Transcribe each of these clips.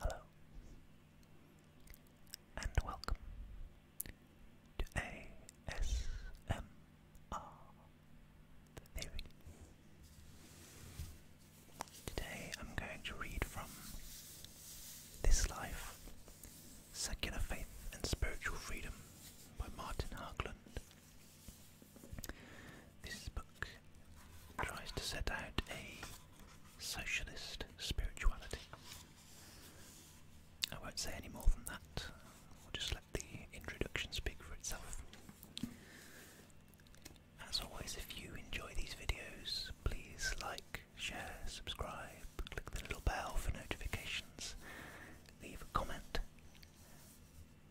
Hello, and welcome to ASMR Today I'm going to read from This Life Secular Faith and Spiritual Freedom by Martin Harkland. This book tries to set out a socialist spirituality. I won't say any more than that, we'll just let the introduction speak for itself. As always, if you enjoy these videos, please like, share, subscribe, click the little bell for notifications, leave a comment,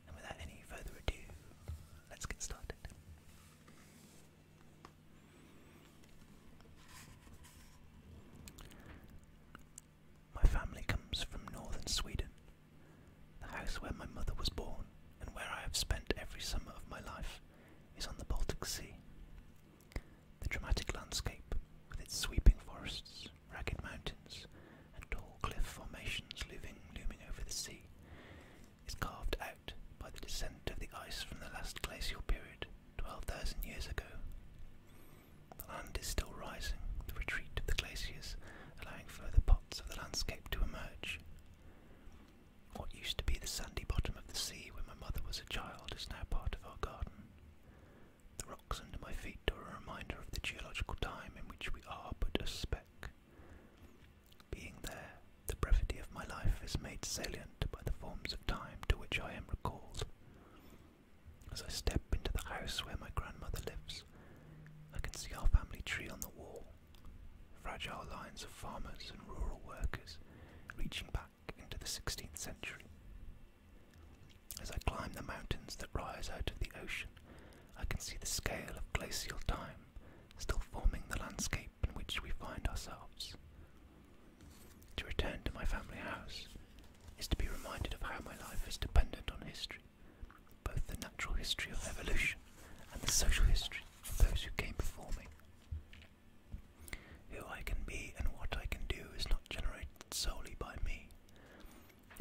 and without any further ado, let's get started. My family comes from northern Sweden, the house where my mother was born and where I have spent every summer of my life. Is on the Baltic Sea. The dramatic landscape, with its sweeping forests, ragged mountains, and tall cliff formations looming, looming over the sea, is carved out by the descent of the ice from the last glacial period 12,000 years ago. The land is still rising, the retreat of the glaciers allowing further parts of the landscape to emerge. What used to be the sandy bottom of the sea when my mother was a child is now part of our garden. The rocks under my feet are a reminder of the geological time in which we are but a speck. Being there, the brevity of my life is made salient by the forms of time to which I am recalled. As I step into the house where my grandmother lives, I can see our family tree on the wall, fragile lines of farmers and rural workers reaching back into the 16th century. As I climb the mountains that rise out of the ocean, I can see the scale of glacial time still forming the landscape in which we find ourselves. To return to my family house is to be reminded of how my life is dependent on history, both the natural history of evolution and the social history of those who came before me. Who I can be and what I can do is not generated solely by me.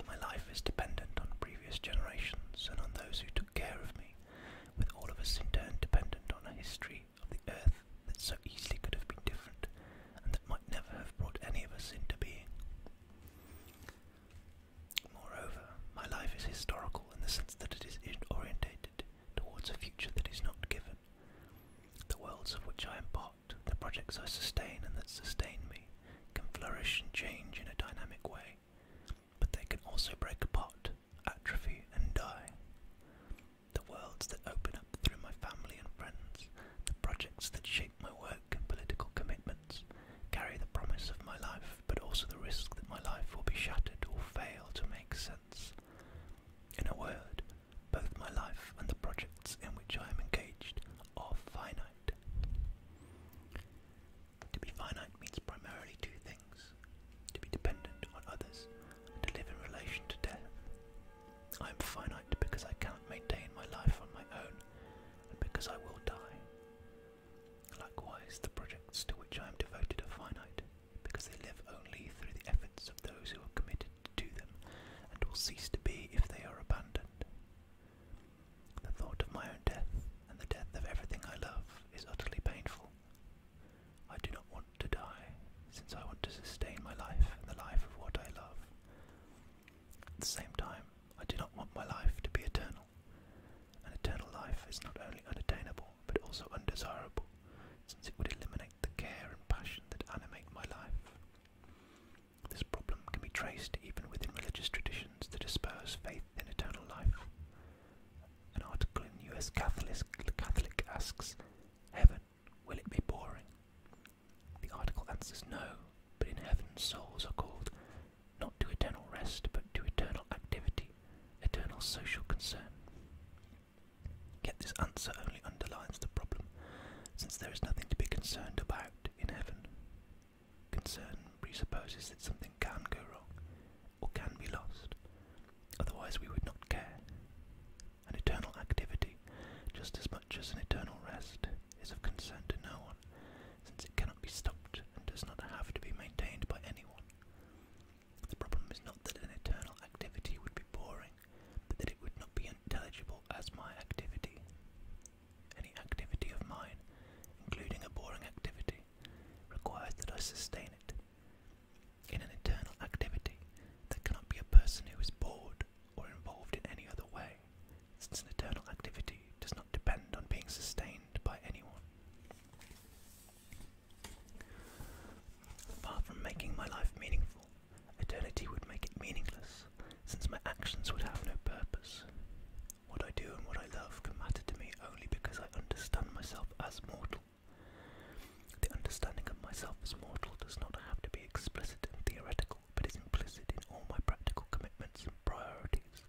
My life is dependent on previous generations and on those who took care of me, with all of us in turn dependent on a history of the earth that so easily could have been different, and that might never have brought any of us into being. Moreover, my life is historical in the sense that it is orientated towards a future that is not given. The worlds of which I am part, the projects I sustain and that sustain me, can flourish and change in a dynamic way, but they can also break apart, atrophy, and die. The worlds that open up through my family and friends, the projects that shape my work and political commitments, carry the promise of my life, but also the risk that my life will be shattered or fail to make sense. In a word, both my life and the projects in which I am engaged are finite. To be finite means primarily two things to be dependent on others, and to live in relation to death. I am finite because I cannot maintain my life on my own, and because I will die. Likewise, the projects to which I am devoted are finite, because they live only through the efforts of those who are committed to them, and will cease to be if they are abandoned. The thought of my own death, and the death of everything I love, is utterly painful. I do not want to die, since I want to sustain my life and the life of what I love. At the same time, I do not want my life to be eternal. An eternal life is not only unattainable, but also undesirable, since it would eliminate the care and passion that animate my life. This problem can be traced even within religious traditions that espouse faith faith eternal life. An article in US Catholic, Catholic asks, Heaven, will it be boring? The article answers no, but in heaven souls are called not to eternal rest, but to eternal activity, eternal social concern. Yet this answer only underlines the problem, since there is nothing to be concerned about in heaven. Concern presupposes that something can go wrong, or can be lost. Otherwise, we would not care. An eternal activity, just as much as an eternal rest, is of concern to no one, since it cannot be stopped and does not have to be maintained by anyone. The problem is not that an eternal activity would be boring, but that it would not be intelligible as my activity. Any activity of mine, including a boring activity, requires that I sustain it, in an eternal activity there cannot be a person who is bored or involved in any other way, since an eternal activity does not depend on being sustained by anyone. Far from making my life meaningful, eternity would make it meaningless, since my actions would have no purpose. What I do and what I love can matter to me only because I understand myself as mortal. The understanding of myself as mortal does not have to be explicit and theoretical, but is implicit in all my practical commitments and priorities.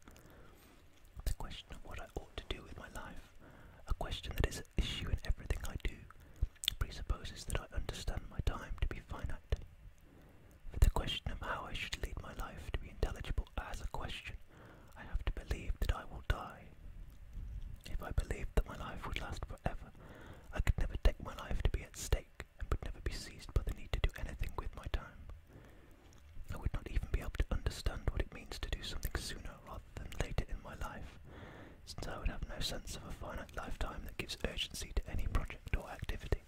The question of what I ought to do with my life, a question that is an issue in everything I do, presupposes that I understand my time to be finite. For the question of how I should lead my life to be intelligible as a question, I have to believe that I will die. If I believed that my life would last forever, I could never take my life to be at stake and would never be seized by the need to do anything with my time. I would not even be able to understand what it means to do something sooner rather than later in my life, since I would have no sense of a finite lifetime that gives urgency to any project or activity.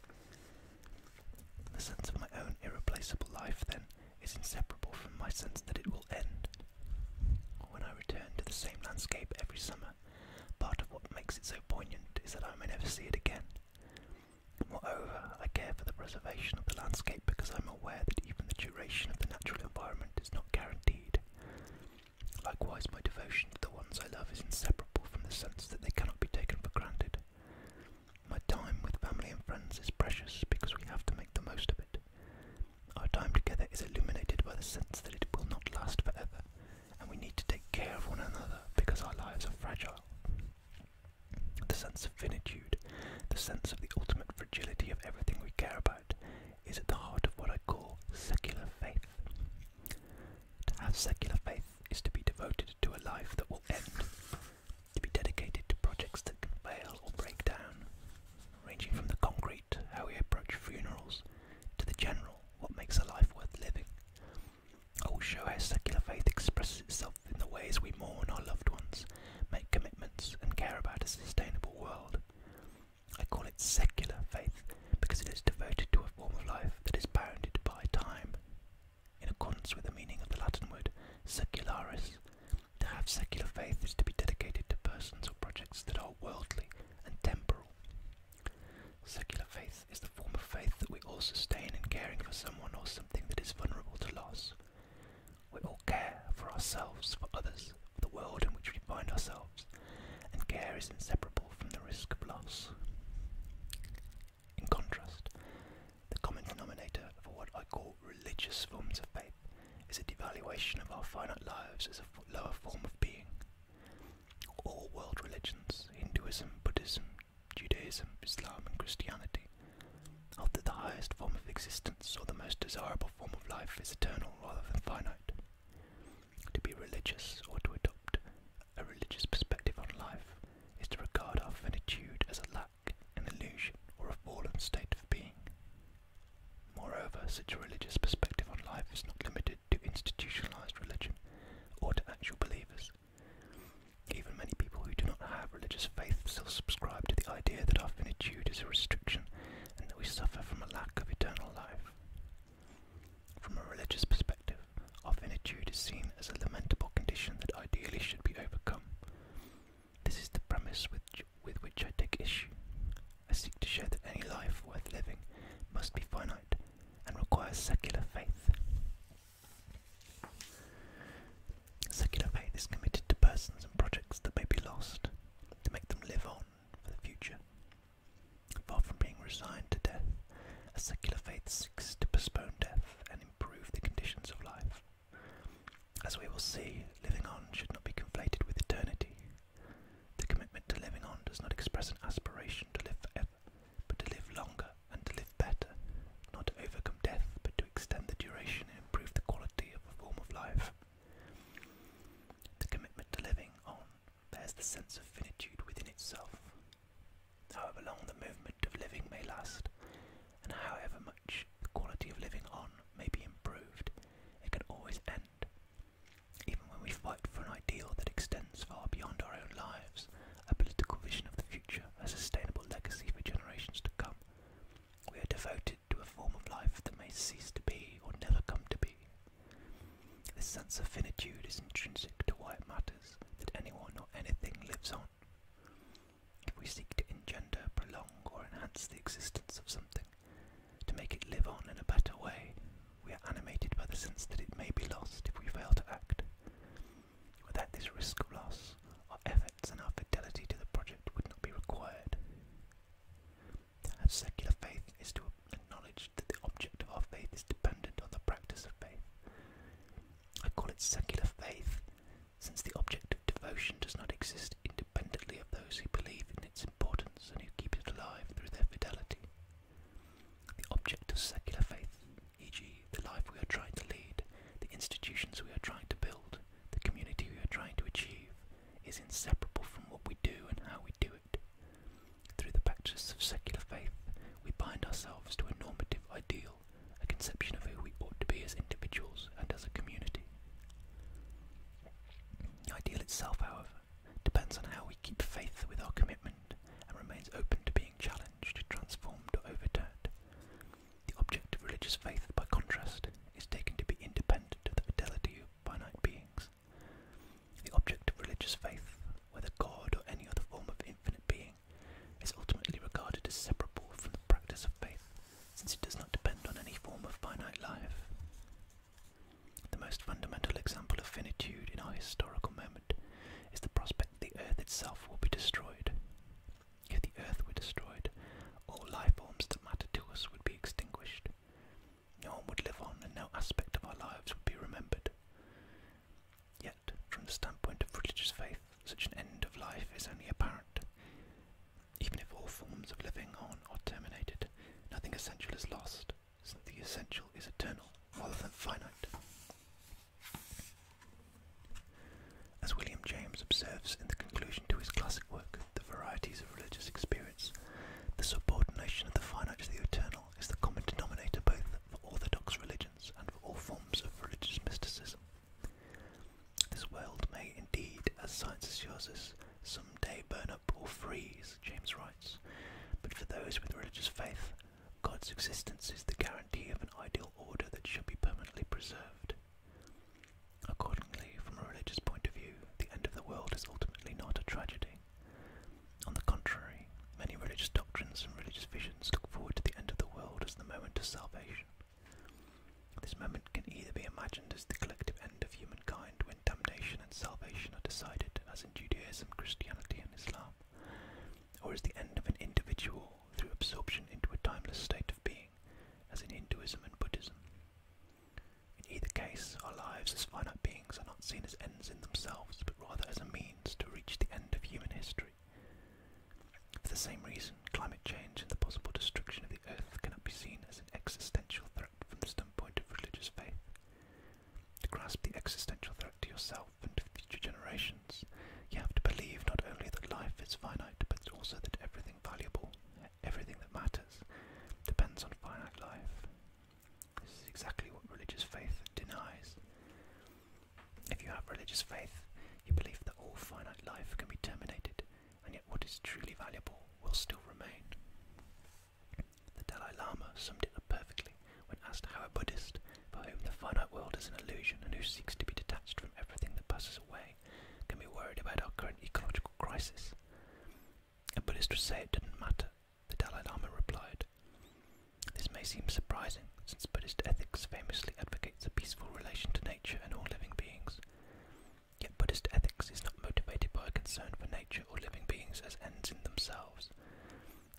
The sense of my own irreplaceable life, then, is inseparable from my sense that it will end. When I return to the same landscape every summer, part of what makes it so poignant is that I may never see it again. Moreover, I care for the preservation of the landscape because I'm aware that even the duration of the natural environment is not guaranteed. Likewise, my devotion to the ones I love is inseparable from the sense that they cannot be taken for granted. My time with family and friends is precious because we have to make the most of it. Our time together is illuminated by the sense that it will not last forever, and we need to take care of one another because our lives are fragile. The sense of finitude, the sense of the ultimate fragility of everything we care about, is at the heart of what I call secular faith. To have secular faith is to be devoted to a life that will end, to be dedicated to projects that can fail or break down, ranging from the concrete, how we approach funerals, to the general, what makes a life worth living. I will show how secular faith expresses itself in the ways we mourn our loved ones, make commitments, and care about a sustainable world. I call it secular faith because it is devoted to a form of life that is bounded by time. In accordance with the meaning of the Latin word secularis, to have secular faith is to be dedicated to persons or projects that are worldly and temporal. Secular faith is the form of faith that we all sustain in caring for someone or something that is vulnerable to loss. We all care for ourselves, for others, for the world in which we find ourselves, and care is inseparable from the risk of loss. In contrast, the common denominator for what I call religious forms of faith is a devaluation of our finite lives as a lower form of being. All world religions, Hinduism, Buddhism, Judaism, Islam, and Christianity, after the highest form of existence or the most desirable form of life is eternal rather than finite. To be religious or to adopt a religious perspective on life is to regard our finitude as a lack, an illusion, or a fallen state of being. Moreover, such a religious perspective on life is not limited to institutionalized religion or to actual believers. Even many people who do not have religious faith still subscribe to the idea that our finitude is a restriction and that we suffer from a lack of eternal life. From a religious perspective, our finitude is seen as a lamentable condition that ideally should be overcome. This is the premise with, with which I take issue. I seek to show that any life worth living must be finite and requires secular faith. Secular faith is committed to persons and projects that may be lost, to make them live on for the future. Far from being resigned to death, a secular faith seeks to postpone death and improve the conditions of life. As we will see, living on should not be conflated with eternity. The commitment to living on does not express an aspiration to live forever, but to live longer and to live better, not to overcome death, but to extend the duration and improve the quality of a form of life. The commitment to living on bears the sense of finitude within itself. However long the movement of living may last, and however much the quality of living on may be improved, it can always end. Even when we fight for an ideal that extends far beyond our own lives, a political vision of the future, a sustainable legacy for generations to come, we are devoted to a form of life that may cease to be or never come to be. This sense of finitude is intrinsic to why it matters that anyone or anything lives on. If we seek to engender, prolong, or enhance the existence of something, to make it live on in a better way, we are animated by the sense that it may be lost if we fail to act. Without this risk of loss, our efforts and our fidelity to the project would not be required. secular faith is to acknowledge that the object of our faith is dependent on the practice of faith. I call it secular faith, since the object of devotion does not exist independently abundantly of those who believe in its importance and who keep it alive through their fidelity. The object of secular faith, e.g., the life we are trying to lead, the institutions we are trying to build, the community we are trying to achieve, is inseparable from what we do and how we do it. Through the practice of secular faith, we bind ourselves to a normative ideal, a conception of who we ought to be as individuals and as a community. The Ideal itself, however, depends on how we keep faith with our commitment and remains open to being challenged, transformed, or overturned. The object of religious faith, by contrast, is taken to be independent of the fidelity of finite beings. The object of religious faith, whether God or any other form of infinite being, is ultimately regarded as separable from the practice of faith, since it does not depend on any form of finite life. The most fundamental example of finitude in our historical moment is the prospect that the earth itself will be destroyed. If the earth were destroyed, all life forms that matter to us would be extinguished. No one would live on, and no aspect of our lives would be remembered. Yet, from the standpoint of religious faith, such an end of life is only apparent. Even if all forms of living on are terminated, nothing essential is lost, since the essential is eternal rather than finite. As William James observes in the conclusion to his classic work, The Varieties of Religious Experience, the subordination of the finite to the eternal is the common denominator both for orthodox religions and for all forms of religious mysticism. This world may indeed, as science assures us, some day burn up or freeze, James writes. But for those with religious faith, God's existence is the guarantee of an ideal order that should be permanently preserved. Accordingly, from a religious point of view, the end of the world is ultimately not a tragedy. On the contrary, many religious doctrines and religious visions look forward to the end of the world as the moment of salvation. This moment can either be imagined as the collective end of humankind when when and salvation are decided, as in Judaism, Christianity, and Islam? Or is the end of an individual through absorption into a timeless state of being, as in Hinduism and Buddhism? In either case, our lives as finite beings are not seen as ends in themselves, but rather as a means to reach the end of human history. For the same reason, climate change and the possible destruction of the Earth cannot be seen as existential threat from the standpoint of religious faith. To grasp the existential threat to yourself and to future generations, you have to believe not only that life is finite, but also that everything valuable, everything that matters, depends on finite life. This is exactly what religious faith denies. If you have religious faith, you believe that all finite life can be terminated, and yet what is truly valuable will still remain. The Dalai Lama summed it up perfectly when asked how a Buddhist, for whom the finite world is an illusion and who seeks to be detached from everything that passes away, can be worried about our current ecological crisis. A Buddhist would say it didn't matter, the Dalai Lama replied. This may seem surprising, since Buddhist ethics famously advocates a peaceful relation to nature and all living beings. Yet Buddhist ethics is not motivated by a concern for nature or living beings as ends in themselves.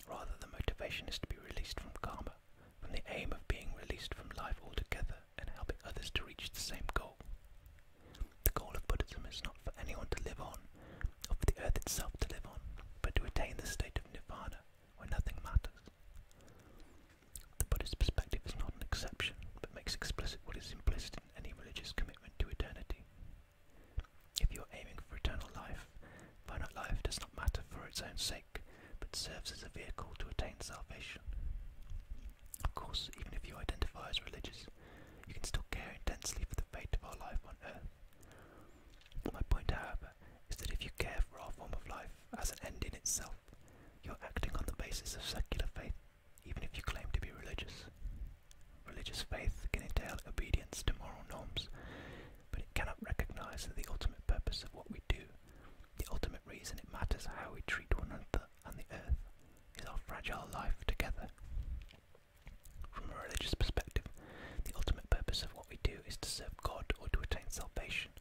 Rather, the motivation is to be released from karma, from the aim of being released from life altogether and helping others to reach the same goal. The goal of Buddhism is not for anyone to live on, or for the earth itself to live on, but to attain the state of nirvana, where nothing matters. The Buddhist perspective is not an exception, but makes explicit what is implicit any religious commitment to eternity. If you are aiming for eternal life, finite life does not matter for its own sake, but serves as a vehicle to attain salvation. Of course, even if you identify as religious, you can still care intensely for the fate of our life on earth. My point, however, is that if you care for our form of life as an end in itself, you're acting on the basis of secular faith even if you claim to be religious. Religious faith can entail obedience to moral norms, but it cannot recognize that the ultimate purpose of what we do. The ultimate reason it matters how we treat one another and the earth is our fragile life together. From a religious perspective, the ultimate purpose of what we do is to serve God or to attain salvation,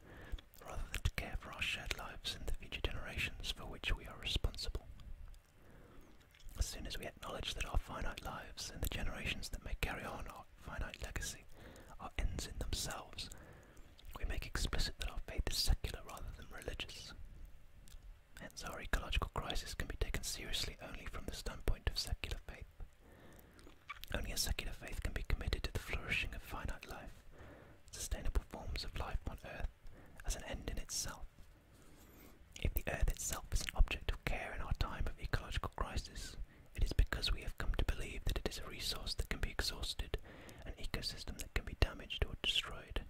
rather than to care for our shared lives and the future generations for which we are responsible. As soon as we acknowledge that our finite lives and the generations that may carry on our finite legacy are ends in themselves, we make explicit that our faith is secular rather than religious. Hence, our ecological crisis can be taken seriously only from the standpoint of secular faith. Only a secular faith can be committed to the flourishing of finite life, sustainable forms of life on earth, as an end in itself, if the Earth itself is an object of care in our time of ecological crisis, it is because we have come to believe that it is a resource that can be exhausted, an ecosystem that can be damaged or destroyed.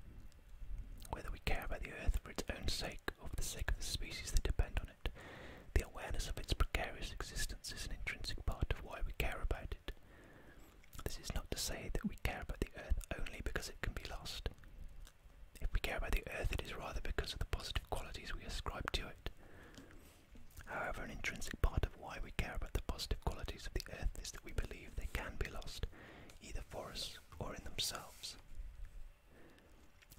Whether we care about the Earth for its own sake or for the sake of the species that depend on it, the awareness of its precarious existence is an intrinsic part of why we care about it. This is not to say that we care about the Earth only because it can be lost. If we care about the earth, it is rather because of the positive qualities we ascribe to it. However, an intrinsic part of why we care about the positive qualities of the earth is that we believe they can be lost, either for us or in themselves.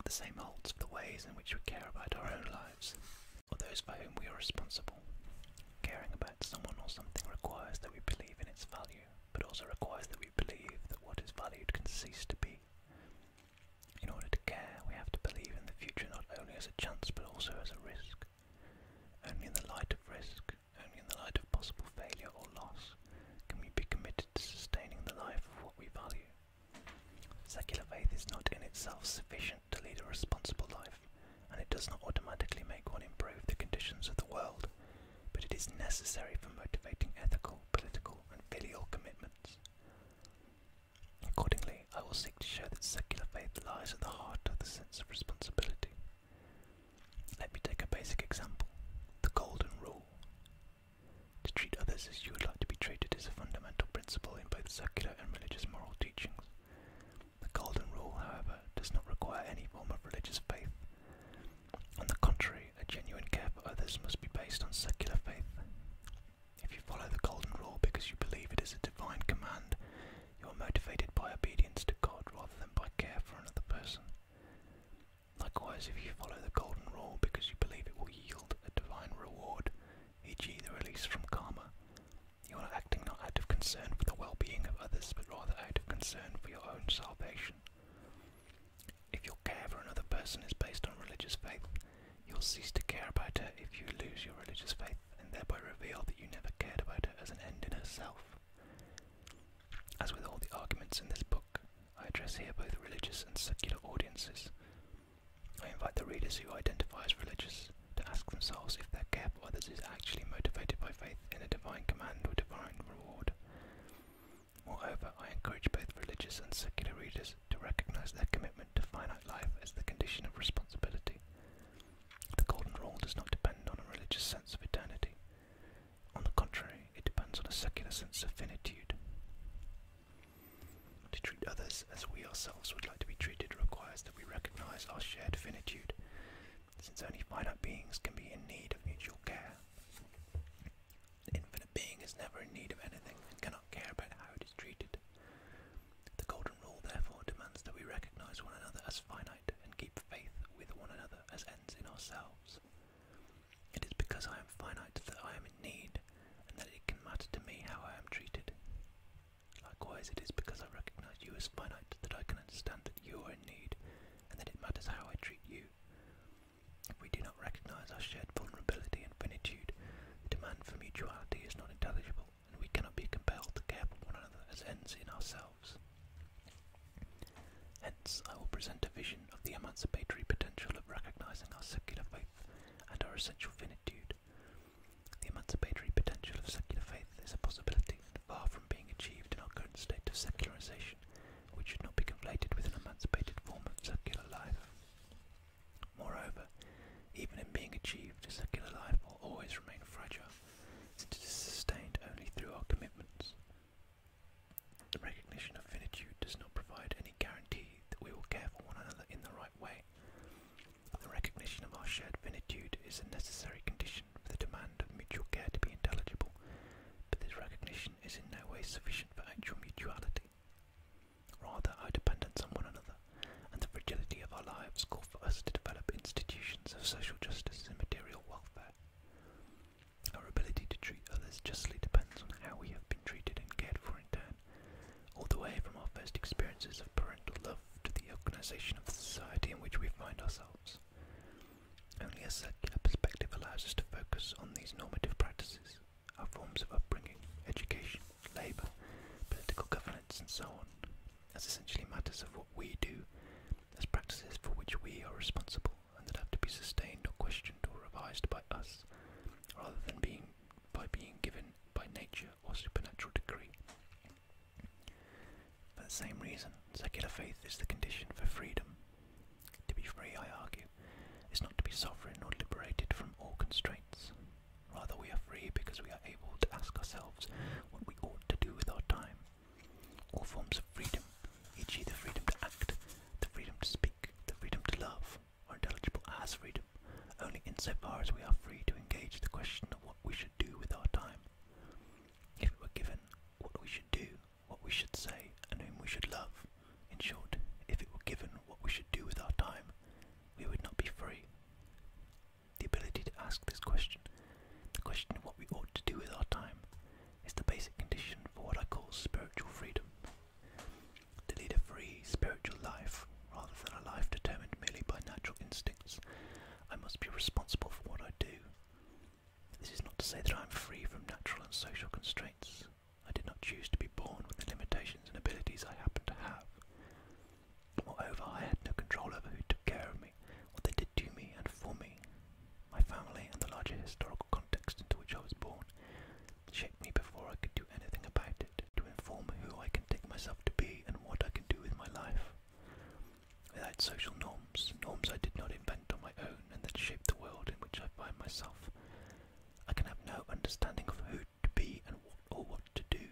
The same holds for the ways in which we care about our own lives, or those for whom we are responsible. Caring about someone or something requires that we believe in its value but also requires that we believe that what is valued can cease to be. In order to care, we have to believe in the future not only as a chance but also as a risk. Only in the light of risk, only in the light of possible failure or loss, can we be committed to sustaining the life of what we value. Secular faith is not in itself sufficient to lead a responsible life, and it does not automatically make one improve the conditions of the world, but it is necessary for motivating ethical, political, and filial commitments. Accordingly, I will seek to show that secular faith lies at the heart of the sense of responsibility. Let me take a basic example the Golden Rule. To treat others as you would like to be treated is a fundamental principle in both secular and religious moral teachings. The Golden Rule, however, does not require any form of religious faith. On the contrary, a genuine care for others must be based on secular faith. If you follow the golden rule because you believe it is a divine command, you are motivated by obedience to God rather than by care for another person. Likewise, if you follow the golden rule because you believe it will yield a divine reward, e.g., the release from karma, you are acting not out of concern for the well being of others but rather out of concern for your own salvation. If your care for another person is based on religious faith, you'll cease to care about her if you lose your religious faith and thereby reveal that you never cared about her as an end in herself. As with all the arguments in this book, I address here both religious and secular audiences. I invite the readers who identify as religious to ask themselves if their care for others is actually motivated by faith in a divine command or divine reward. Moreover, I encourage both religious and secular readers to recognize their commitment to finite life as the condition of responsibility. The Golden Rule does not depend on a religious sense of eternity. On the contrary, it depends on a secular sense of finitude. To treat others as we ourselves would like to be treated requires that we recognize our shared finitude, since only finite beings can be in need of mutual care. The infinite being is never in need of anything and cannot care about how it is treated. The golden rule, therefore, demands that we recognize one another as finite and keep faith with one another as ends in ourselves. It is because I am finite that I am in need, and that it can matter to me how I am treated. Likewise, it is because I recognize you as finite that I can understand that you are in need, and that it matters how I treat you we do not recognize our shared vulnerability and finitude, the demand for mutuality is not intelligible, and we cannot be compelled to care for one another as ends in ourselves. Hence, I will present a vision of the emancipatory potential of recognizing our secular faith and our essential finitude. The emancipatory potential of secular faith is a possibility, far from being achieved in our current state of secularization, which should not be conflated with an emancipated form of circular life. Moreover, even in being achieved, a secular life will always remain fragile, since it is sustained only through our commitments. The recognition of finitude does not provide any guarantee that we will care for one another in the right way. The recognition of our shared finitude is a necessary condition for the demand of mutual care to be intelligible but this recognition is in no way sufficient for actual mutuality. Rather, our dependence on one another and the fragility of our lives call for us to develop institutions of social justice and material welfare. Our ability to treat others justly depends on how we have been treated and cared for in turn, all the way from our first experiences of parental love to the organisation of the society in which we find ourselves. Only a secular perspective allows us to focus on these normative practices, our forms of upbringing, education, labour, political governance, and so on, as essentially matters of what we do, as practices for which we are responsible and that have to be sustained or questioned or revised by us, rather than being by being given by nature or supernatural decree. For the same reason, secular faith is the condition for freedom, to be free, I argue, is not to be sovereign or liberated from all constraints. Rather, we are free because we are able to ask ourselves what we ought to do with our time. All forms of freedom, e.g., the freedom to act, the freedom to speak, the freedom to love, are intelligible as freedom only insofar as we are free to engage the question of what we should do with our time. If it were given what we should do what we should say, and whom we should love. In short, if it were given what we should do with our time, we would not be free. The ability to ask this question, the question of what we ought to do with our time, is the basic condition for what I call spiritual freedom. To lead a free spiritual life, rather than a life determined merely by natural instincts, I must be responsible for what I do. This is not to say that I am free from natural and social constraints. I did not choose to be born with the limitations and abilities I happen to have. Moreover, I had no control over who took care of me, what they did to me and for me. My family and the larger historical context into which I was born shaped me before I could do anything about it, to inform who I can take myself to be and what I can do with my life. Without social norms, norms I did not invent on my own and that shape the world in which I find myself. I can have no understanding of who to be and what or what to do.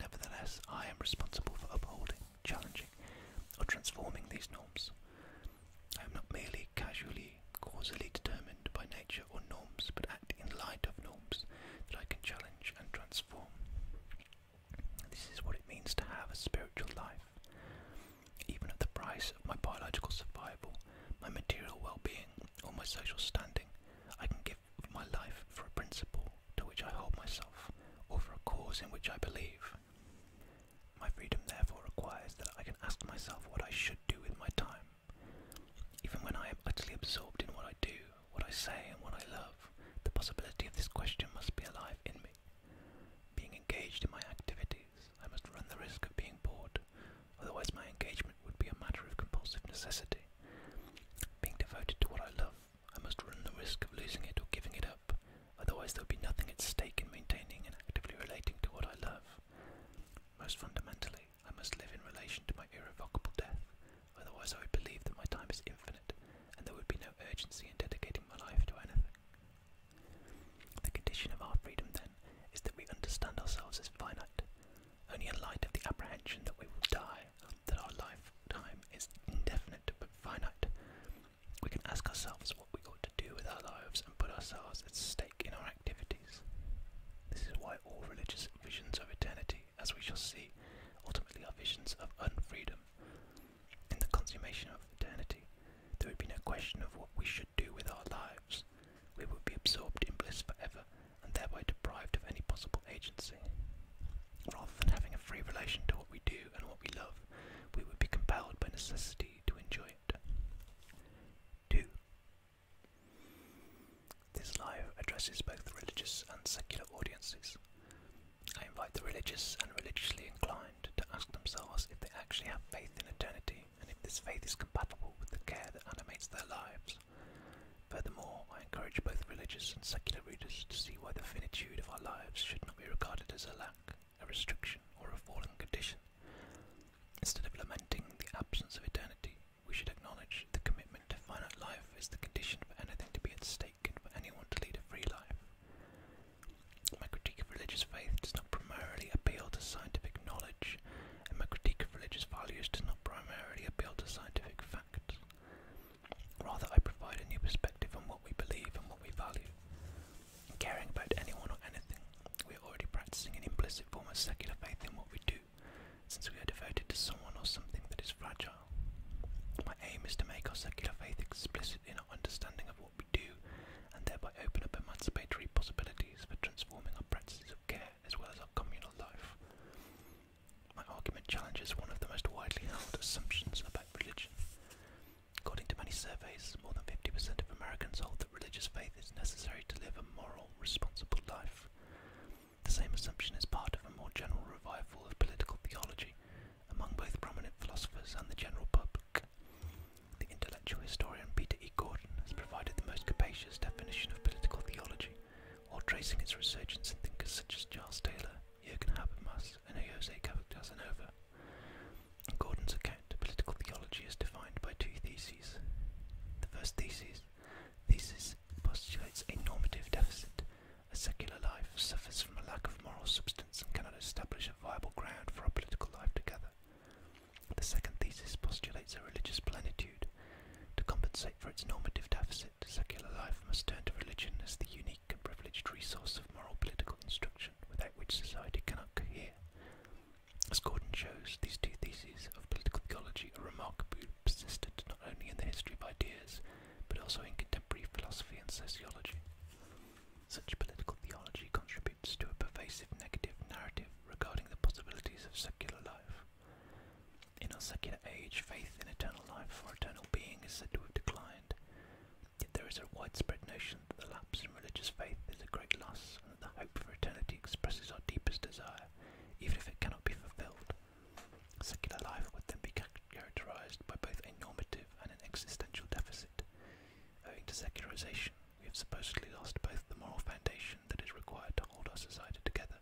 Nevertheless, I am responsible for upholding, challenging, or transforming these norms. I am not merely casually, causally determined by nature or norms, but act in light of norms that I can challenge and transform. This is what it means to have a spiritual life even at the price of my biological survival, my material well-being, or my social standing, I can give my life for a principle to which I hold myself, or for a cause in which I believe. My freedom therefore requires that I can ask myself what I should do with my time. Even when I am utterly absorbed in what I do, what I say, and what I love, the possibility of this question must be alive in me. Being engaged in my activities, I must run the risk of being bored, otherwise my engagement would be a matter of compulsive necessity. Being devoted to what I love, I must run the risk of losing it or giving it up, otherwise there would be nothing at stake in maintaining and actively relating to what I love. Most fundamentally, I must live in relation to my irrevocable death, otherwise I would believe that my time is infinite, and there would be no urgency in dedicating my life to anything. The condition of our freedom, then, is that we understand ourselves as finite, only in light of the apprehension that we will die, that our lifetime is indefinite but finite. We can ask ourselves what we ought to do with our lives and put ourselves at stake in our activities. This is why all religious visions of eternity, as we shall see, ultimately are visions of unfreedom. In the consummation of eternity, there would be no question of what we should do with our lives. We would be absorbed in bliss forever and thereby deprived of any possible agency. Rather than having a free relation to what we do and what we love, we would be compelled by necessity to enjoy it. 2. This life addresses both religious and secular audiences. I invite the religious and religiously inclined to ask themselves if they actually have faith in eternity and if this faith is compatible with the care that animates their lives. Furthermore, I encourage both religious and secular readers to see why the finitude of our lives should not be regarded as a lack, a restriction, or a fallen condition. Instead of lamenting the absence of eternity, we should acknowledge the commitment to finite life is the condition for anything to be at stake and for anyone to lead a free life. My critique of religious faith does not primarily appeal to scientific knowledge, and my critique of religious values does not primarily appeal to scientific facts. Rather, I provide a new perspective on what we believe and what we value. In caring about anyone or anything, we are already practicing an implicit form of secular faith in what we do, since we are devoted to someone or something that is fragile. My aim is to make our secular faith explicit in our understanding of what we do and thereby open up emancipatory possibilities for transforming our practices of care as well as our communal life. My argument challenges one of the most widely held assumptions about religion. According to many surveys, more than 50% of Americans hold that religious faith is necessary to live a moral, responsible life. The same assumption is part of a more general revival of political theology among both prominent philosophers and the general public. The intellectual historian Peter E. Gordon has provided the most capacious definition of political theology, while tracing its resurgence in thinkers such as Charles Taylor, Jürgen Habermas, and Jose Casanova. In Gordon's account, political theology is defined by two theses. The first thesis, postulates a normative deficit. A secular life suffers from a lack of moral substance and cannot establish a viable ground for a political life together. The second thesis postulates a religious plenitude. To compensate for its normative deficit, secular life must turn to religion as the unique and privileged resource of moral political instruction without which society cannot cohere. As Gordon shows, these two theses of political theology are remarkably persistent not only in the history of ideas, but also in contemporary philosophy and sociology. Such political theology contributes to a pervasive negative narrative regarding the possibilities of secular life. In our secular age, faith in eternal life for eternal being is said to have declined, yet there is a widespread notion that the lapse in religious faith is a great loss and that the hope for eternity expresses our deepest desire, even if it cannot be fulfilled. Secular life would then be characterized by both a normative and an existential deficit. Owing to secularization, we have supposedly lost both the moral foundation that is required to hold our society together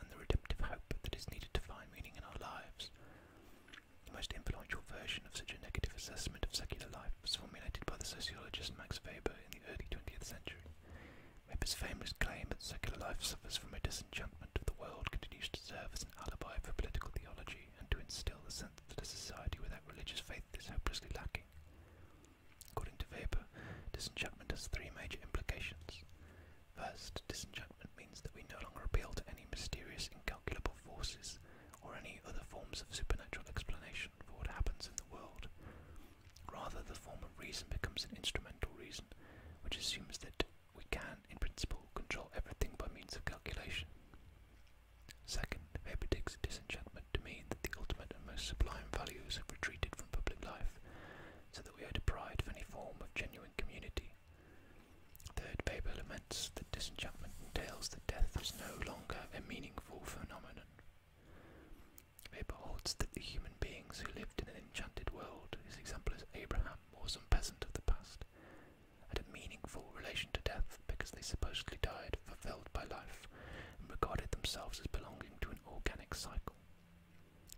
and the redemptive hope that is needed to find meaning in our lives. The most influential version of such a negative assessment of secular life was formulated by the sociologist Max Weber in the early 20th century. Weber's famous claim that secular life suffers from a disenchantment of the world continues to serve as an alibi for political theology and to instill the sense that a society without religious faith is hopelessly lacking. According to Weber, disenchantment has three major implications. First, disenchantment means that we no longer appeal to any mysterious, incalculable forces or any other forms of supernatural explanation for what happens in the world. Rather, the form of reason becomes an instrumental reason, which assumes that we can, in principle, control everything by means of calculation. Second, Weber takes disenchantment to mean that the ultimate and most sublime values have retreated from public life, so that we are deprived of any form of genuine community. Third, Weber laments that disenchantment entails that death is no longer a meaningful phenomenon. Weber holds that the human beings who lived in an enchanted world, his example is Abraham or some peasant of the past, had a meaningful relation to death because they supposedly died fulfilled by life, and regarded themselves as belonging to an organic cycle.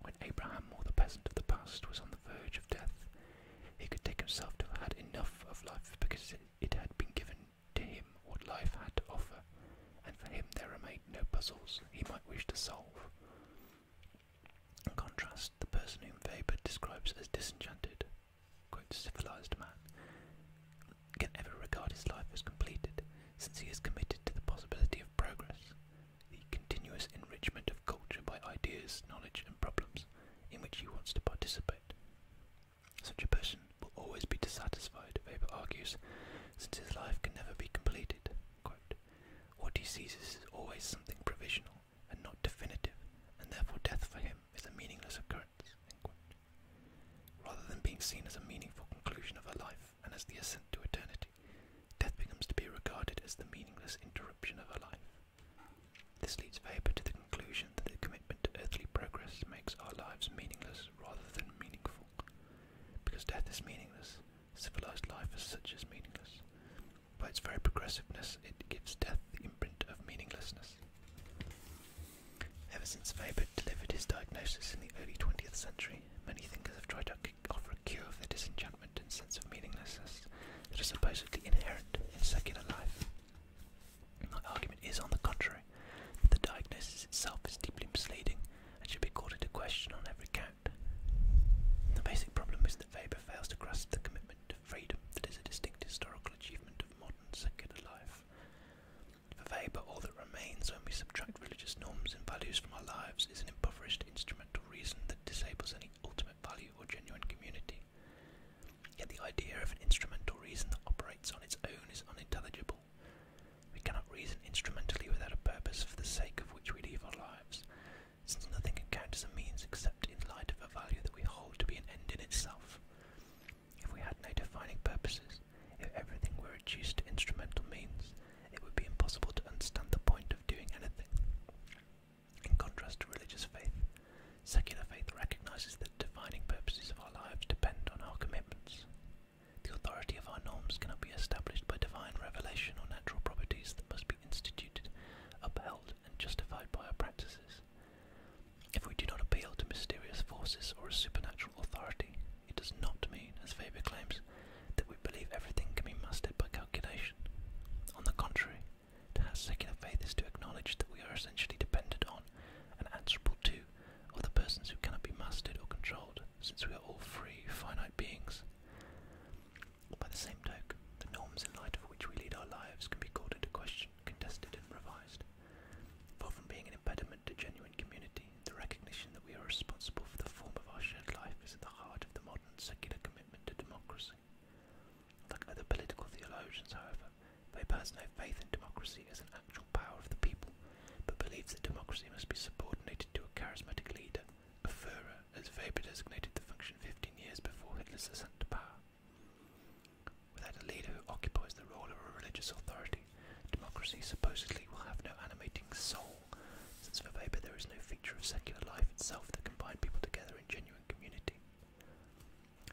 When Abraham, or the peasant of the past, was on the verge of death, he could take himself to have had enough of life because it had been given to him what life had to offer, and for him there remained no puzzles he might wish to solve. In contrast, the person whom Weber describes as disenchanted, quote, civilized man, can ever regard his life as completed, since he is committed to the possibility of progress, the continuous enrichment of culture by ideas, knowledge, and problems in which he wants to participate. Such a person will always be dissatisfied, Weber argues, since his life can never be completed. Quote, what he sees is always something provisional and not definitive, and therefore death for him is a meaningless occurrence. Rather than being seen as a meaningful conclusion of a life and as the ascent to eternity, death becomes to be regarded as the meaningless interruption of a life. This leads Weber to the conclusion that the commitment to earthly progress makes our lives meaningless rather than meaningful. Because death is meaningless, civilized life as such is meaningless. By its very progressiveness, it gives death the imprint of meaninglessness. Ever since Weber delivered his diagnosis in the early 20th century, many thinkers have tried to offer a cure for the disenchantment and sense of meaninglessness that are supposedly inherent in secular life. My argument is, on the contrary, that the diagnosis itself is deeply misleading and should be called into question on every count. The basic problem is that Weber fails to grasp the commitment to freedom that is a distinct historical achievement of modern secular life. For Weber, all that remains when we subtract religious norms and values from our lives is an impoverished instrumental reason that disables any ultimate value or genuine community. Yet the idea of an instrumental reason that operates on its own is unintelligible. We cannot reason instrumentally without a purpose for the sake of which we live our lives, since nothing can count as a means except in light of a value that we hold to be an end in itself. If we had no defining purposes, if everything were reduced to instrumental means, it would be impossible to understand the point of doing anything. In contrast to religious faith, secular faith recognizes that defining purposes of our lives depend on our commitments. The authority of our norms cannot be established by divine revelation or natural properties that must be instituted, upheld, and justified by our practices. If we do not appeal to mysterious forces or a supernatural authority, it does not mean, as Faber claims, that we believe everything can be mastered by calculation. On the contrary, to have secular faith is to acknowledge that we are essentially dependent on and answerable to other persons who cannot be mastered or controlled, since we are all free, finite beings. By the same token, the norms in light of which we lead our lives can be called into question, contested, and revised. Far from being an impediment to genuine community, the recognition that we are responsible for the form of our shared life is at the heart of the modern secular commitment to democracy. Like other political theologians, however, Weber has no faith in democracy as an actual power of the people, but believes that democracy must be subordinated to a charismatic leader, a Führer, as Weber designated the function 15 years before Hitler's ascent to power. Without a leader who occupies the role of a religious authority, Democracy supposedly will have no animating soul, since for Weber there is no feature of secular life itself that can bind people together in genuine community.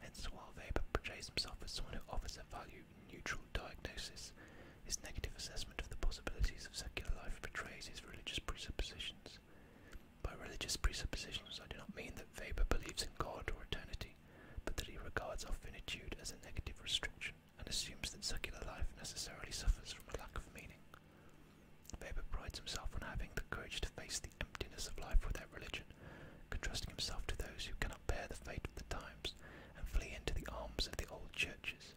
Hence, while Weber portrays himself as someone who offers a value-neutral diagnosis, his negative assessment of the possibilities of secular life betrays his religious presuppositions. By religious presuppositions, I do not mean that Weber believes in God or eternity, but that he regards our finitude as a negative restriction and assumes that secular life necessarily suffers from a lack of meaning. Weber prides himself on having the courage to face the emptiness of life without religion, contrasting himself to those who cannot bear the fate of the times and flee into the arms of the old churches.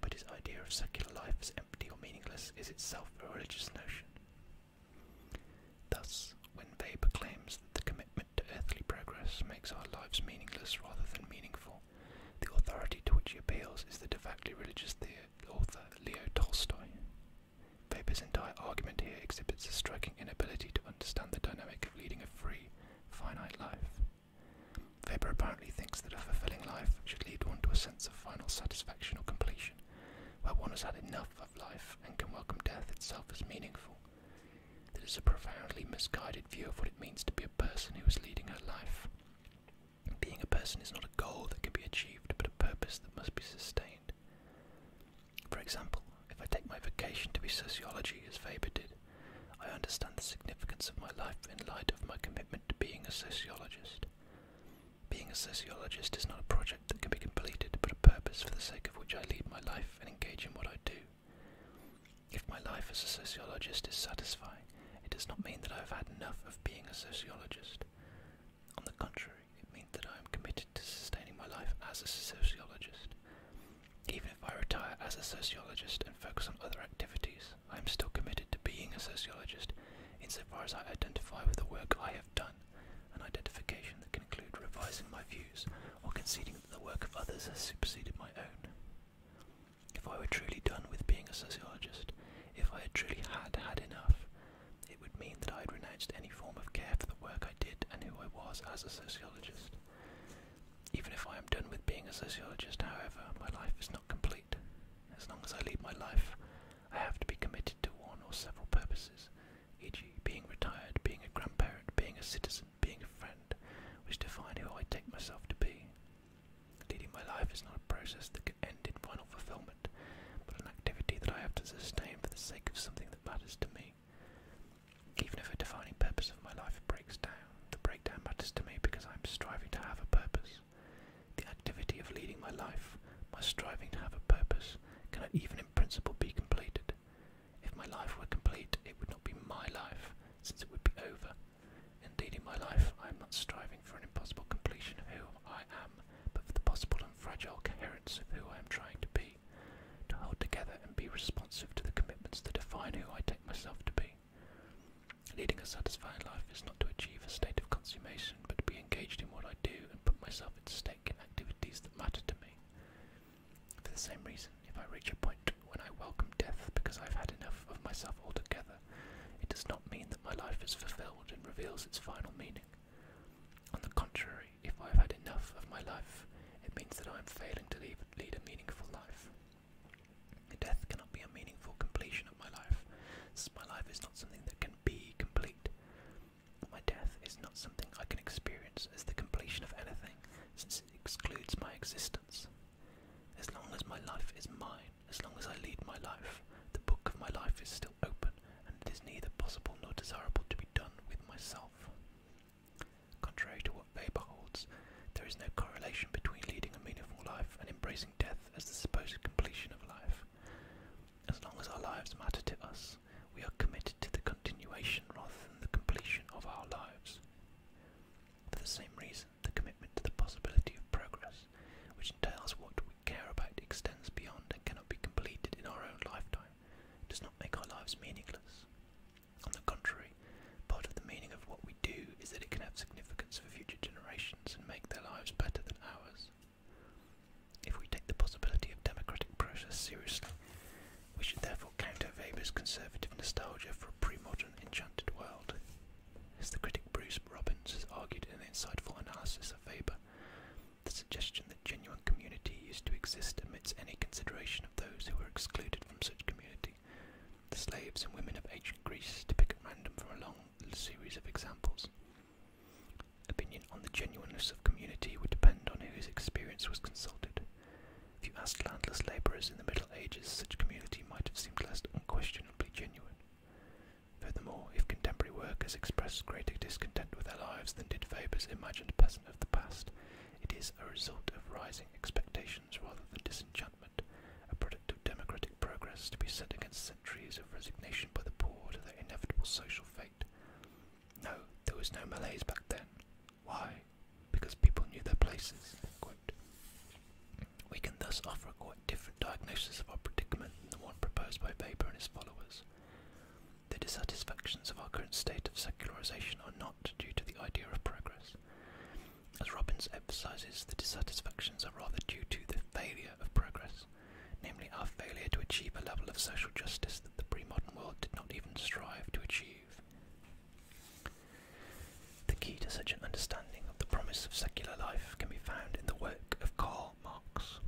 But his idea of secular life as empty or meaningless is itself a religious notion. Thus, when Weber claims that the commitment to earthly progress makes our lives meaningless rather than meaningful. The authority to which he appeals is the devoutly religious author Leo Tolstoy. Weber's entire argument here exhibits a striking inability to understand the dynamic of leading a free, finite life. Weber apparently thinks that a fulfilling life should lead one to a sense of final satisfaction or completion, where one has had enough of life and can welcome death itself as meaningful. This is a profoundly misguided view of what it means to be a person who is leading her life. Being a person is not a goal that can be achieved, but a purpose that must be sustained. For example, if I take my vocation to be sociology, as Faber did, I understand the significance of my life in light of my commitment to being a sociologist. Being a sociologist is not a project that can be completed, but a purpose for the sake of which I lead my life and engage in what I do. If my life as a sociologist is satisfying, it does not mean that I have had enough of being a sociologist. On the contrary, it means that I am committed to sustaining my life as a sociologist. Even if I retire as a sociologist and focus on other activities, I am still committed to being a sociologist insofar as I identify with the work I have done, an identification that can include revising my views or conceding that the work of others has superseded my own. If I were truly done with being a sociologist, if I had truly had had enough, it would mean that I had renounced any form of care for the work I did and who I was as a sociologist. Even if I am done with being a sociologist, however, my life is not complete. As long as I lead my life, I have to be committed to one or several purposes, e.g., being retired, being a grandparent, being a citizen, being a friend which define who I take myself to be. Leading my life is not a process that can end in final fulfillment, but an activity that I have to sustain for the sake of something that matters to me. Even if a defining purpose of my life breaks down, the breakdown matters to me because I am striving to have a purpose. The activity of leading my life, my striving to have a purpose, cannot even in principle be completed. If my life were complete, it would not be my life, since it would be over. Indeed, in my life, I am not striving for an impossible completion of who I am, but for the possible and fragile coherence of who I am trying to be, to hold together and be responsive to the commitments that define who I take myself to be. Leading a satisfying life is not to achieve a state of consummation, but to be engaged in what I do and put myself at stake in activities that matter to me. For the same reason, if I reach a point when I welcome death because I've had enough of myself altogether, it does not mean that my life is fulfilled and reveals its final meaning. On the contrary, if I have had enough of my life, it means that I am failing to lead a meaningful life. Death cannot be a meaningful completion of my life, my life is not something that can be complete. My death is not something I can experience as the completion of anything, since it excludes my existence. As long as my life is mine, as long as I lead my life, the book of my life is still open, and it is neither possible nor desirable to be done with myself. Contrary to what Weber holds, there is no correlation between leading a meaningful life and embracing death as the supposed completion of life. As long as our lives matter to us, we are committed to the continuation rather than the completion of our lives. For the same reason, the commitment to the possibility of progress, which entails what we care about extends beyond and cannot be completed in our own lifetime, does not make our lives meaningless. On the contrary, part of the meaning of what we do is that it can have significance for future generations and make their lives better than ours. If we take the possibility of democratic process seriously, we should therefore counter Weber's conservative nostalgia for a pre-modern from Enchanted World. As the critic Bruce Robbins has argued in an insightful analysis of Weber, the suggestion that genuine community used to exist amidst any consideration of those who were excluded from such community. The slaves and women of ancient Greece, to pick at random from a long series of examples. Opinion on the genuineness of community would depend on whose experience was consulted. If you asked landless labourers in the Middle Ages, such community might have seemed less unquestionably genuine. Furthermore, if contemporary workers express greater discontent with their lives than did Weber's imagined peasant of the past, it is a result of rising expectations rather than disenchantment, a product of democratic progress to be set against centuries of resignation by the poor to their inevitable social fate. No, there was no malaise back then. Why? Because people knew their places. We can thus offer a quite different diagnosis of our predicament than the one proposed by Weber and his followers. The dissatisfactions of our current state of secularization are not due to the idea of progress. As Robbins emphasizes, the dissatisfactions are rather due to the failure of progress, namely our failure to achieve a level of social justice that the pre modern world did not even strive to achieve. The key to such an understanding of the promise of secular life can be found in the work of Karl Marx.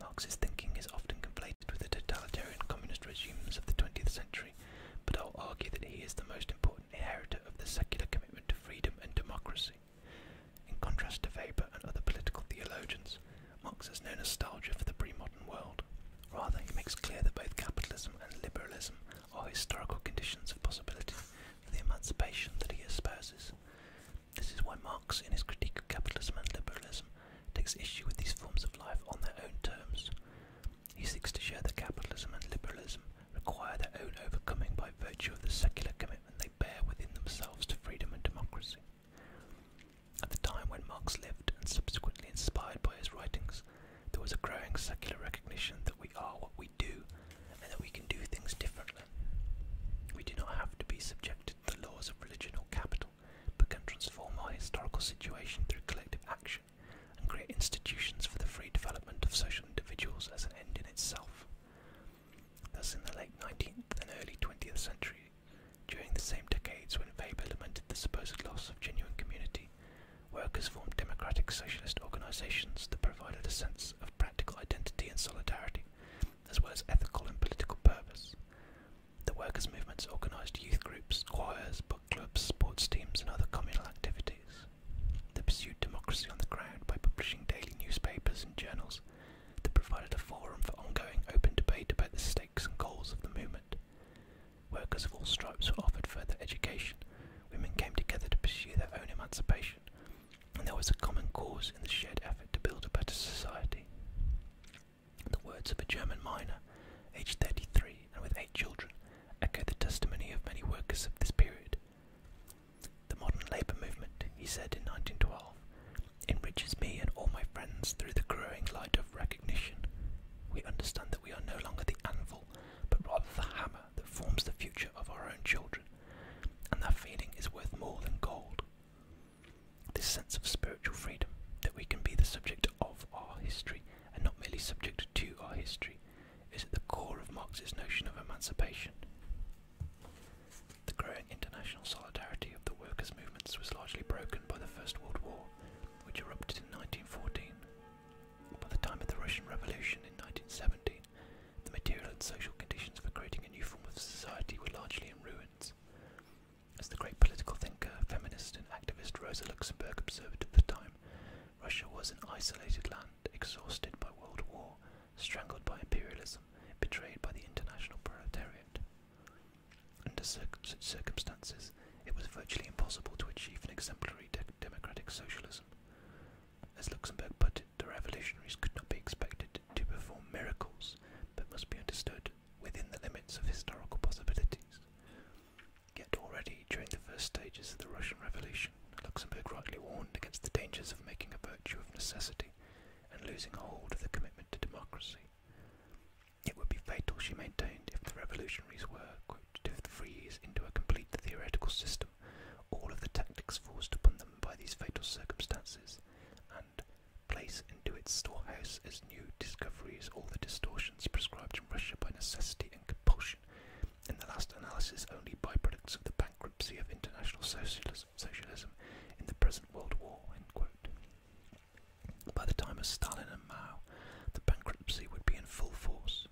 Marx's thinking is often conflated with the totalitarian communist regimes of the 20th century, but I'll argue that he is the most important inheritor of the secular commitment to freedom and democracy. In contrast to Weber and other political theologians, Marx has no nostalgia for the pre-modern world. Rather, he makes clear that both capitalism and liberalism or historical conditions of possibility for the emancipation that he espouses. This is why Marx, in his critique of capitalism and liberalism, takes issue with these forms of life on their own terms. He seeks to show that capitalism and liberalism require their own overcoming by virtue of the secular commitment they bear within themselves to freedom and democracy. At the time when Marx lived, and subsequently inspired by his writings, there was a growing secular recognition that we are what we do and that we can do things differently. We do not have to be subjected to the laws of religion or capital, but can transform our historical situation through collective action and create institutions for the free development of social individuals as an end in itself. Thus, in the late 19th and early 20th century, during the same decades when Weber lamented the supposed loss of genuine community, Workers formed democratic socialist organizations that provided a sense of practical identity and solidarity, as well as ethical and political purpose. The workers' movements organized youth groups, choirs, book clubs, sports teams, and other communal activities. They pursued democracy on the ground by publishing daily newspapers and journals that provided a forum for ongoing open debate about the stakes and goals of the movement. Workers of all stripes were offered further education. Women came together to pursue their own emancipation, and there was a common cause in the shared effort to build a better society. The words of a German miner, aged 33 and with eight children, echo the testimony of many workers of this period. The modern labour movement, he said in 1912, enriches me and all my friends through the growing light of recognition. We understand that we are no longer the anvil, but rather the hammer that forms the future of our own children, and that feeling is worth more than gold. This sense of spiritual freedom, that we can be the subject of our history and not merely subject to our history, is at the core of Marx's notion of emancipation. The growing international solidarity of the workers' movements was largely broken by the First World War, which erupted in 1914 by the time of the Russian Revolution in 1917, the material and social conditions for creating a new form of society were largely in ruins. As the great political thinker, feminist, and activist Rosa Luxemburg observed at the time, Russia was an isolated land, exhausted by world war, strangled by imperialism, betrayed by the international proletariat. Under such circumstances, it was virtually impossible to achieve an exemplary democratic socialism. As Luxemburg put it, the revolutionaries could not be expected to perform miracles, but must be understood within the limits of historical possibilities. Yet already during the first stages of the Russian Revolution, Luxemburg rightly warned against the dangers of making a virtue of necessity and losing hold of the commitment to democracy. It would be fatal, she maintained, if the revolutionaries were, quote, to freeze into a complete theoretical system all of the tactics forced upon them by these fatal circumstances, and place into its storehouse as new discoveries all the distortions prescribed in Russia by necessity and compulsion, in the last analysis only by-products of the bankruptcy of international socialism in the present World War. By the time of Stalin and Mao, the bankruptcy would be in full force.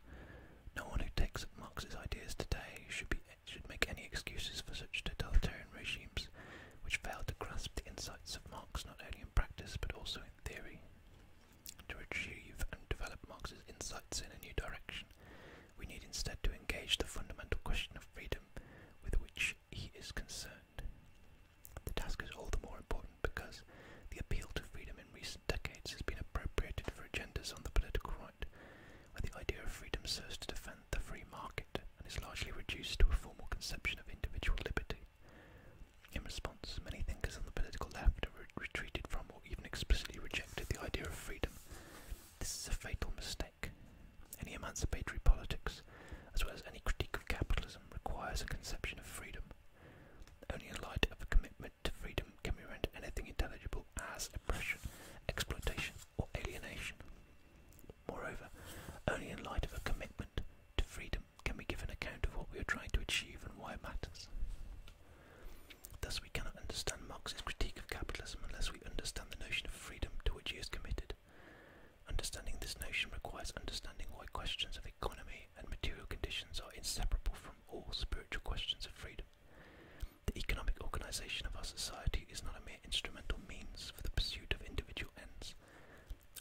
No one who takes Marx's ideas today should should make any excuses for such totalitarian regimes, which failed to grasp the insights of Marx not only in practice but also in theory. To achieve and develop Marx's insights in a new direction, we need instead to engage the fundamental question of freedom with which he is concerned. The task is all the more important because the appeal to freedom in recent decades has been appropriated for agendas on the political right, where the idea of freedom serves to defend the free market and is largely reduced to a formal conception of individual liberty. In response, many thinkers on the political left have retreated from or even explicitly rejected the idea of freedom. This is a fatal mistake. Any emancipatory politics, as well as any critique of capitalism, requires a conception of freedom. Only in light of a commitment to freedom can be rendered anything intelligible as oppression, exploitation, or alienation. Moreover, only in light of a commitment to freedom can we give an account of what we are trying to achieve and why it matters. Thus, we cannot understand Marx's critique of capitalism unless we understand the notion of freedom to which he is committed. Understanding this notion requires understanding why questions of economy and material conditions are inseparable from all spiritual questions of freedom. The economic organization of our society is not a mere instrumental means for the pursuit of individual ends.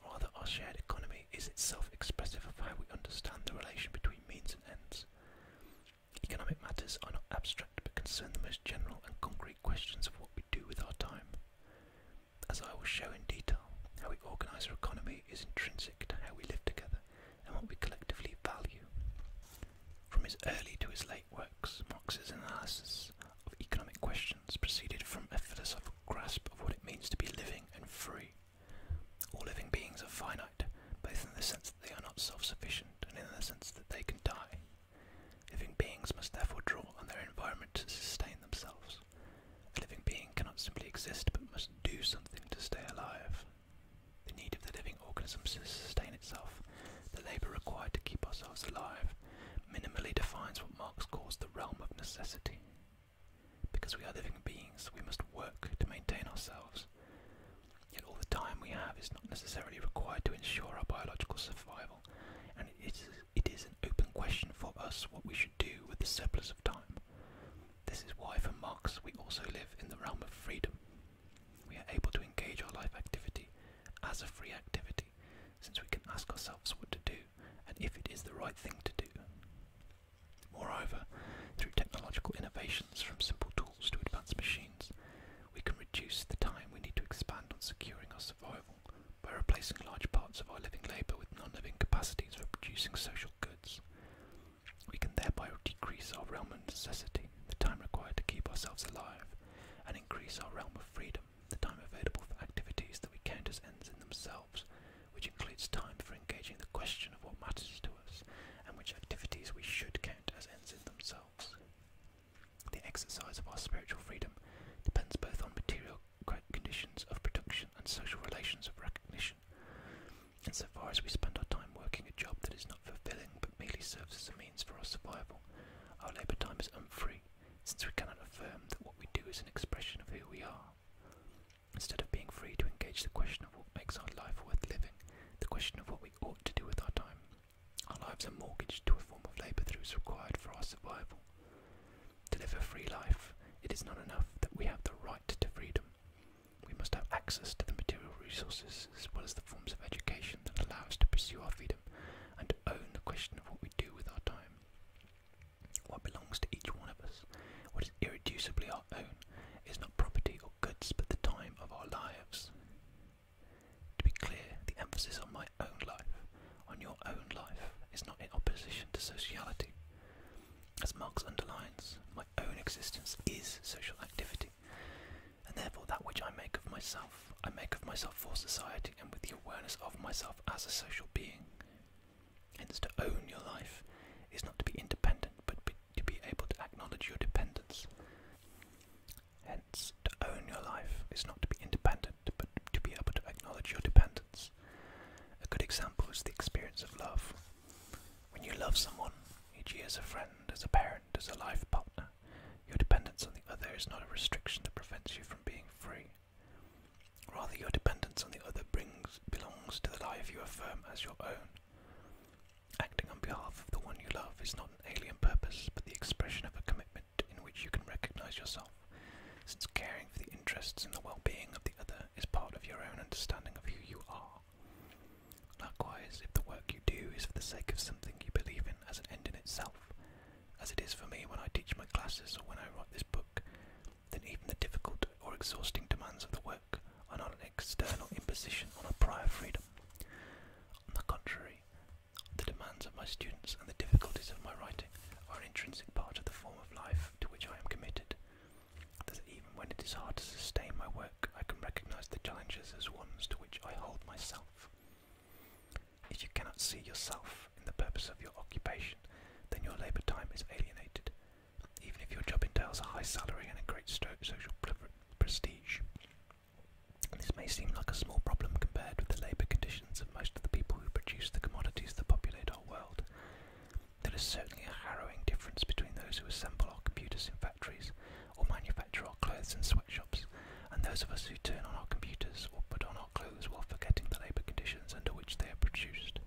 Rather, our shared economy is itself expressive of how we understand the relation between means and ends. Economic matters are not abstract but concern the most general and concrete questions of what we do with our time. As I will show in detail, how we organize our economy is intrinsic to how we live together and what we collectively value. From his early to his late works, Marx's analysis of economic questions proceeded from a philosophical grasp of what it means to be living and free. All living beings are finite, both in the sense that they are not self sufficient and in the sense that they can die. Living beings must therefore draw on their environment to sustain themselves. A living being cannot simply exist but must do something to stay alive. The need of the living organism to sustain itself, the labour required to keep ourselves alive, minimally defines what Marx calls the realm of necessity. Because we are living beings, we must work to maintain ourselves. Yet all the time we have is not necessarily required to ensure our biological survival, and it is, an open question for us what we should do with the surplus of time. This is why, for Marx, we also live in the realm of freedom. We are able to engage our life activity as a free activity since we can ask ourselves what to do and if it is the right thing to do. Moreover, through technological innovations from simple tools to advanced machines, we can reduce the time we need to expand on securing our survival by replacing large parts of our living labour with non living capacities for producing social goods. We can thereby decrease our realm of necessity, the time required to keep ourselves alive, and increase our realm of freedom, the time available for activities that we count as ends in themselves, which includes time for engaging the question of what matters to us, and which activities we should count as ends in themselves. The exercise of our spiritual freedom depends both on material conditions of production and social relations of recognition insofar as we spend our time working a job that is not fulfilling but merely serves as a means for our survival, our labour time is unfree, since we cannot affirm that what we do is an expression of who we are. Instead of being free to engage the question of what makes our life worth living, the question of what we ought to do with our time, our lives are mortgaged to a form of labour that is required for our survival. To live a free life, it is not enough that we have the right to freedom. We must have access to the material resources as well as the forms of education that allow us to pursue our freedom and own the question of what we do with our time. What belongs to each one of us, what is irreducibly our own, is not property or goods but the time of our lives. To be clear, the emphasis on my own life, on your own life, is not in opposition to sociality. As Marx underlines, my own existence is social activity. And therefore, that which I make of myself, I make of myself for society and with the awareness of myself as a social being. Hence, to own your life is not to be independent, but to be able to acknowledge your dependence. Hence, to own your life is not to be independent, but to be able to acknowledge your dependence. A good example is the experience of love. When you love someone, e.g., as a friend, as a parent, as a life partner, your dependence on the other is not a restriction that prevents you from being free. Rather, your dependence on the other belongs to the life you affirm as your own. Acting on behalf of the one you love is not an alien purpose, but the expression of a commitment in which you can recognize yourself, since caring for the interests and the well being of the other is part of your own understanding of who you are are. Likewise, if the work you do is for the sake of something you believe in as an end in itself, as it is for me when I teach my classes or when I write this book, then even the difficult or exhausting demands of the work are not an external imposition on a prior freedom. On the contrary, the demands of my students and the difficulties of my writing are an intrinsic part of the form of life to which I am committed, even when it is hard to sustain my work I can recognize the challenges as ones to which I hold myself. If you cannot see yourself in the purpose of your occupation, then your labour time is alienated, even if your job entails a high salary and a great social prestige. This may seem like a small problem compared with the labour conditions of most of the people who produce the commodities that populate our world. There is certainly a harrowing difference between those who assemble our computers in factories or manufacture our clothes in sweatshops, and those of us who turn on our computers or put on our clothes while forgetting the labour conditions under which they are produced.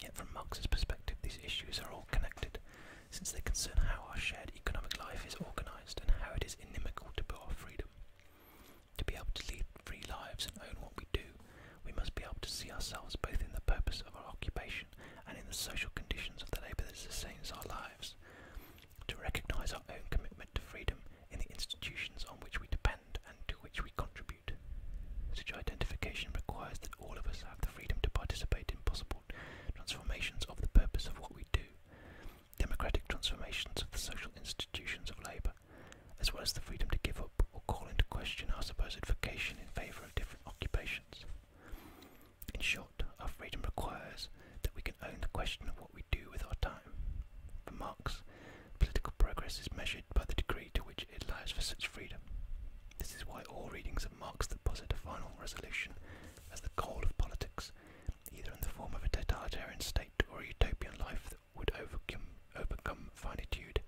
Yet from Marx's perspective these issues are all connected, since they concern how our shared economic life is organised and how it is inimical to our freedom. To be able to lead free lives and own what we do, we must be able to see ourselves both in the purpose of our occupation and in the social conditions of the labour that sustains our lives, to recognise our own commitment to freedom in the institutions on which we depend and to which we contribute. Such identification requires that all of us have the freedom to participate in possible transformations of the purpose of what we do, democratic transformations of the social institutions of labour, as well as the freedom to give up or call into question our supposed vocation in favour of different occupations. In short, our freedom requires that we can own the question of what we do with our time. For Marx, political progress is measured by the degree to which it allows for such freedom. This is why all readings of Marx that posit a final resolution as the goal of politics, either in the form of a totalitarian state or a utopian life that would overcome, overcome finitude,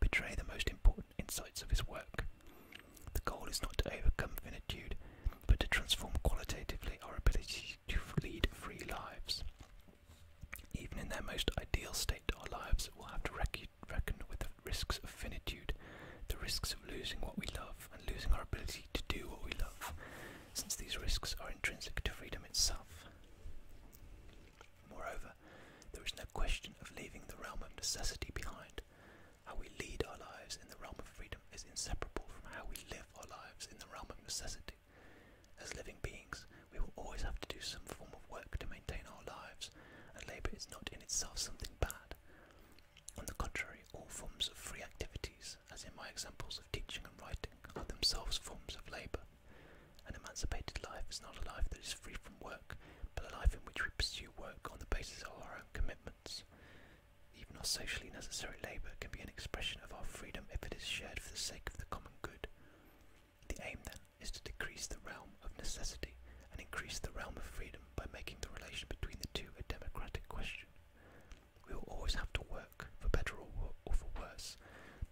betray the most important insights of his work. The goal is not to overcome finitude, but to transform qualitatively our ability to lead free lives. Even in their most ideal state, our lives will have to reckon with the risks of finitude, the risks of losing what we love and losing our ability to do what we love, since these risks are intrinsic to freedom itself. Moreover, there is no question of leaving the realm of necessity behind. How we lead our lives in the realm of freedom is inseparable from how we live our lives in the realm of necessity. As living beings, we will always have to do some form of work to maintain our lives, and labour is not in itself something bad. On the contrary, all forms of free activities, as in my examples of teaching and writing, are themselves forms of labour. An emancipated life is not a life that is free from work, but a life in which we pursue work on the basis of our own commitment even our socially necessary labour can be an expression of our freedom if it is shared for the sake of the common good. The aim, then, is to decrease the realm of necessity and increase the realm of freedom by making the relation between the two a democratic question. We will always have to work, for better or, wor for worse,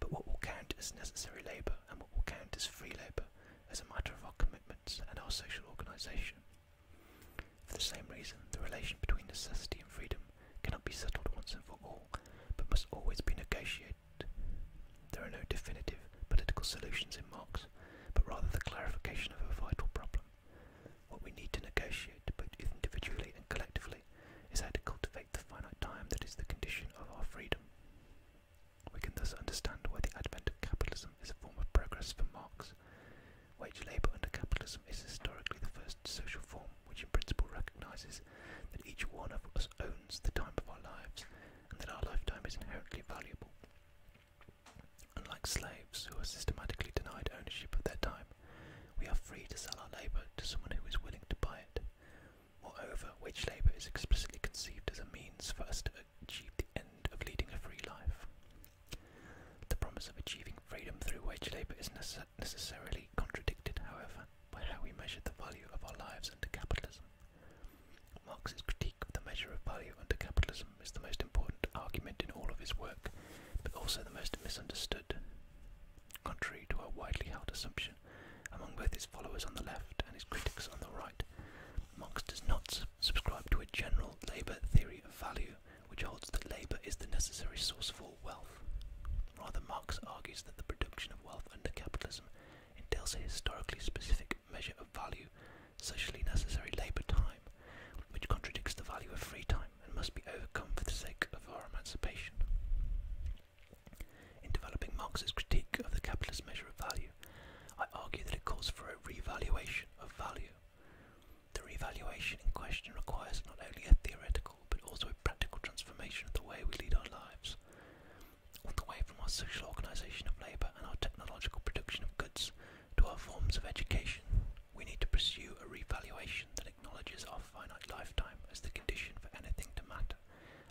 but what will count as necessary labour and what will count as free labour, is a matter of our commitment and our social organisation. For the same reason, the relation between necessity and freedom cannot be settled once and for all, but must always be negotiated. There are no definitive political solutions in Marx, but rather the clarification of a vital problem. What we need to negotiate, both individually and collectively, is how to cultivate the finite time that is the condition of our freedom. We can thus understand why the advent of capitalism is a form of progress for Marx, Wage labour under capitalism is historically the first social form which in principle recognises that each one of us owns the time of our lives and that our lifetime is inherently valuable. Unlike slaves, who are systematically denied ownership of their time, we are free to sell our labour to someone who is willing to buy it. Moreover, wage labour is explicitly conceived as a means for us to achieve the end of leading a free life. The promise of achieving freedom through wage labour is necessarily contradicted, however, by how we measure the value of our lives under capitalism. Marx's critique of the measure of value under capitalism is the most important argument in all of his work, but also the most misunderstood. Contrary to a widely held assumption among both his followers on the left and his critics on the right, Marx does not subscribe to a general labour theory of value which holds that labour is the necessary source of all wealth. Rather, Marx argues that the production of wealth under capitalism entails a historically specific measure of value, socially necessary labour time, which contradicts the value of free time and must be overcome for the sake of our emancipation. In developing Marx's critique of the capitalist measure of value, I argue that it calls for a revaluation of value. The revaluation in question requires not only a theoretical but also a practical transformation of the way we lead our lives, all the way from our social organisation of labour and our technological production of goods to our forms of education. We need to pursue a revaluation that acknowledges our finite lifetime as the condition for anything to matter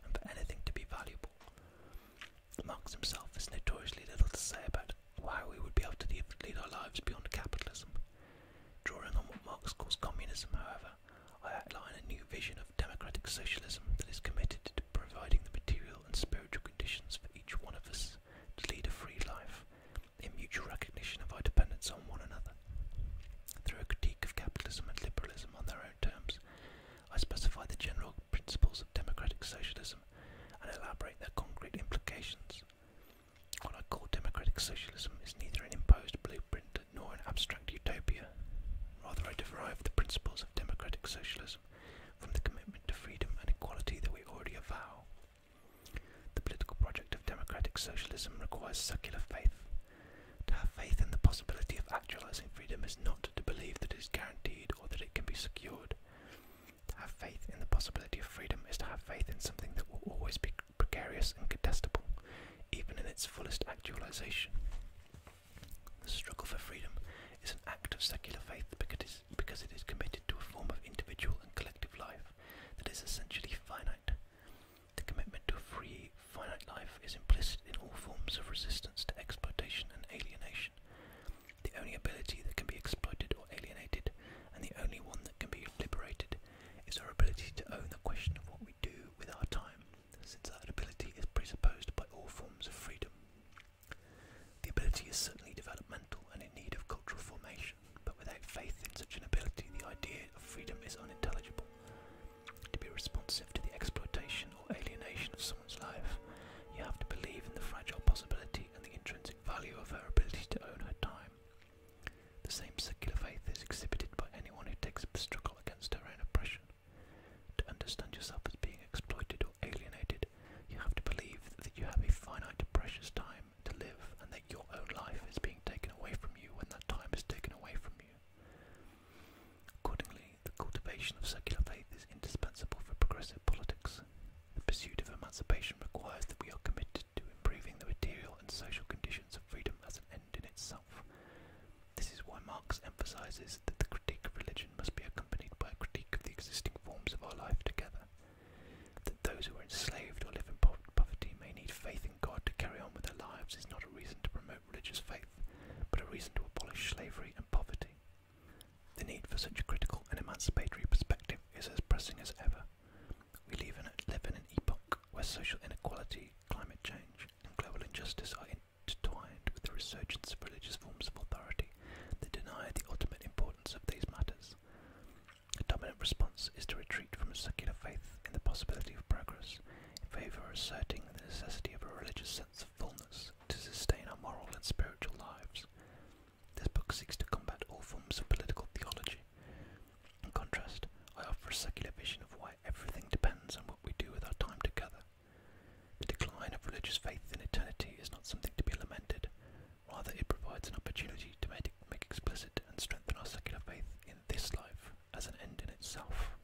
and for anything to be valuable. Marx himself has notoriously little to say about why we would be able to lead our lives beyond capitalism. Drawing on what Marx calls communism, however, I outline a new vision of democratic socialism that is committed to providing the material and spiritual conditions for each one of us to lead a free life, in mutual recognition of our dependence on one another. Through a critique of capitalism and liberalism on their own terms, I specify the general principles of democratic socialism and elaborate their concrete implications. What I call democratic socialism is neither an imposed blueprint nor an abstract utopia. Rather, I derive the principles of democratic socialism from the commitment to freedom and equality that we already avow. The political project of democratic socialism requires secular faith. To have faith in the possibility of actualizing freedom is not to believe that it is guaranteed or that it can be secured. To have faith in the possibility of freedom is to have faith in something that will always be precarious and contestable, even in its fullest actualization. The struggle for freedom is an act of secular faith because it is committed to a form of individual and collective life that is essentially finite. The commitment to free, finite life is implicit in all forms of resistance to exploitation and alienation the only ability that can be exploited or alienated, and the only one that can be liberated, is our ability to own the question of what we do with our time, since that ability is presupposed by all forms of freedom. The ability is certainly developmental and in need of cultural formation, but without faith in such an ability, the idea of freedom is unintelligible. To be responsive to the exploitation or alienation of someone's life, you have to believe in the fragile possibility and the intrinsic value of her ability to own her time. The same secular faith is exhibited by anyone who takes up the struggle against her own oppression. To understand yourself as being exploited or alienated, you have to believe that you have a finite, precious time to live and that your own life is being taken away from you when that time is taken away from you. Accordingly, the cultivation of secular faith is indispensable for progressive politics. The pursuit of emancipation requires that we are committed to improving the material and social conditions of freedom as an end in itself. This is why Marx emphasizes that the critique of religion must be accompanied by a critique of the existing forms of our life together. That those who are enslaved or live in poverty may need faith in God to carry on with their lives is not a reason to promote religious faith, but a reason to abolish slavery and poverty. The need for such a critical and emancipatory perspective is as pressing as ever. We live in, a, live an epoch where social inequality, climate change, and global injustice are intertwined with the resurgence of religious forms of authority that deny the ultimate importance of these matters. The dominant response is to retreat from a secular faith in the possibility of progress, in favour of asserting the necessity of a religious sense of fullness to sustain our moral and spiritual lives. This book seeks to combat all forms of political theology. In contrast, I offer a secular vision of why everything depends on what we do with our time together. The decline of religious faith in eternity is not something to be lamented, rather, it provides an opportunity to make, explicit and strengthen our secular faith in this life as an end in itself.